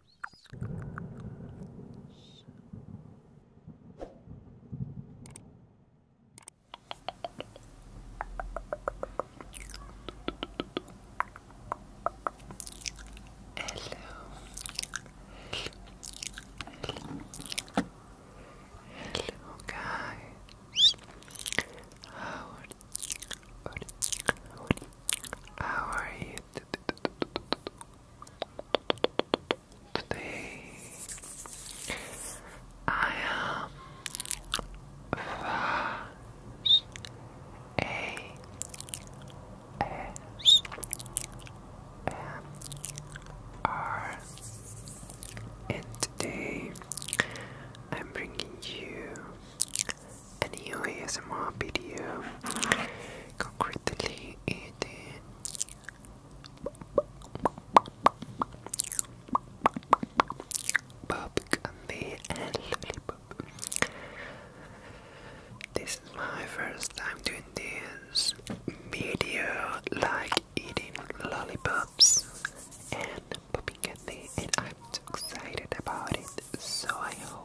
Hello guys. How How are you? Today I am fast and today I'm bringing you a new video. Concretely, it is Bob and Lollipop. This is my first time doing this video, like eating lollipops and popping candy, and I'm so excited about it. So I hope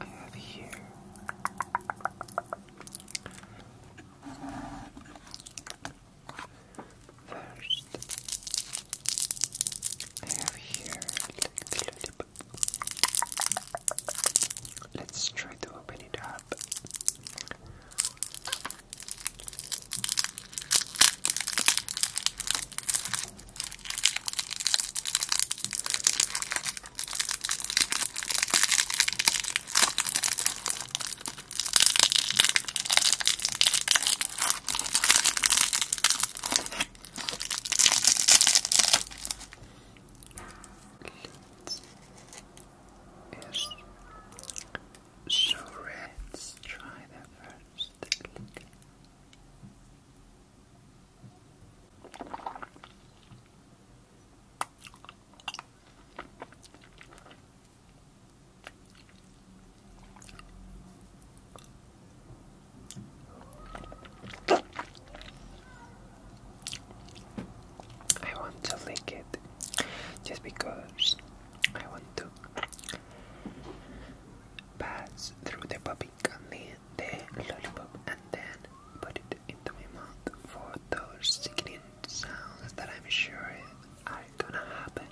I have here first. I have here. Let's try to open it up. It's so red. Let's try that first. Look. I want to lick it just because I want to pass through the puppy candy the lollipop and then put it into my mouth for those sickening sounds that I'm sure are gonna happen.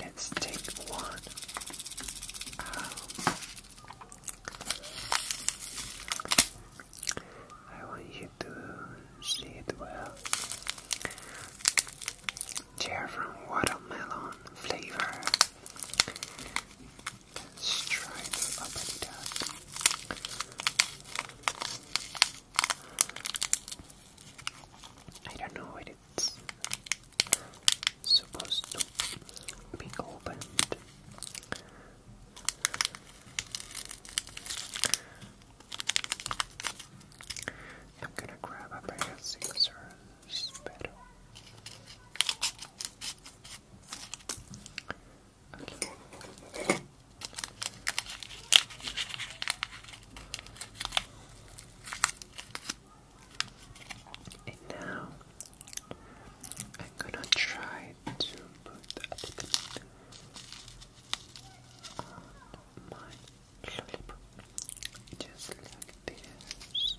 Let's take one out. I want you to see it well. Chair from watermelon flavor. Let's try to I don't know what it's supposed to be opened. I'm gonna grab a pair of scissors, better. And now I'm gonna try tried to put that on my lollipop, just like this,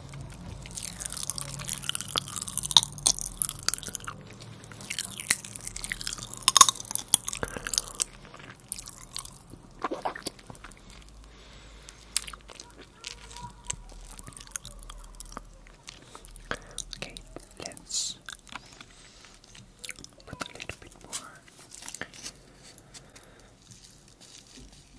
Okay, let's put a little bit more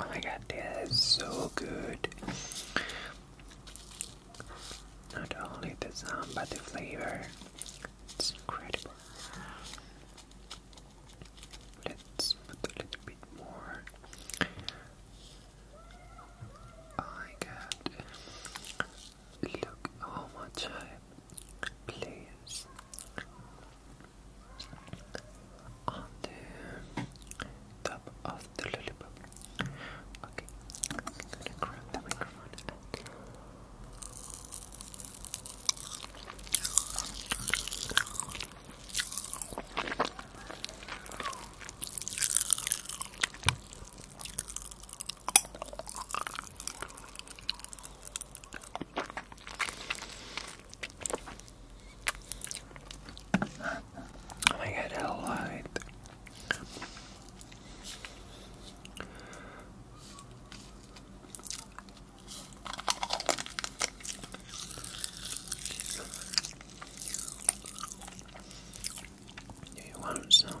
Oh my god, that is so good. Not only the sound but the flavor. It's incredible. Let's put a little bit more. I got. Look how much I place on the top of the lollipop. Okay, I'm gonna grab the microphone I had a lot. Do you want some?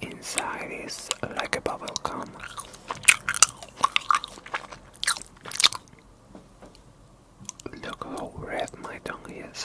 Inside is like a bubble gum. Look how red my tongue is.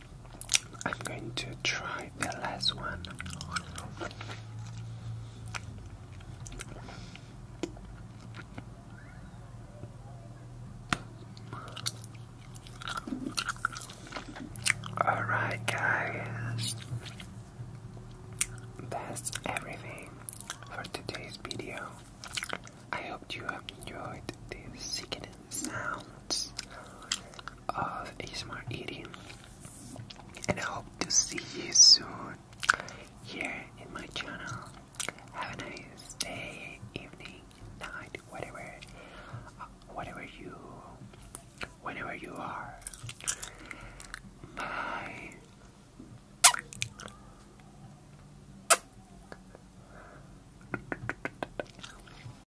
I'm going to try the last one. Alright, guys, that's everything for today's video. I hope you enjoyed these sickening sounds of smart eating, and I hope to see you soon here in my channel. Have a nice day, evening, night, whatever, whatever you, whenever you are. Bye.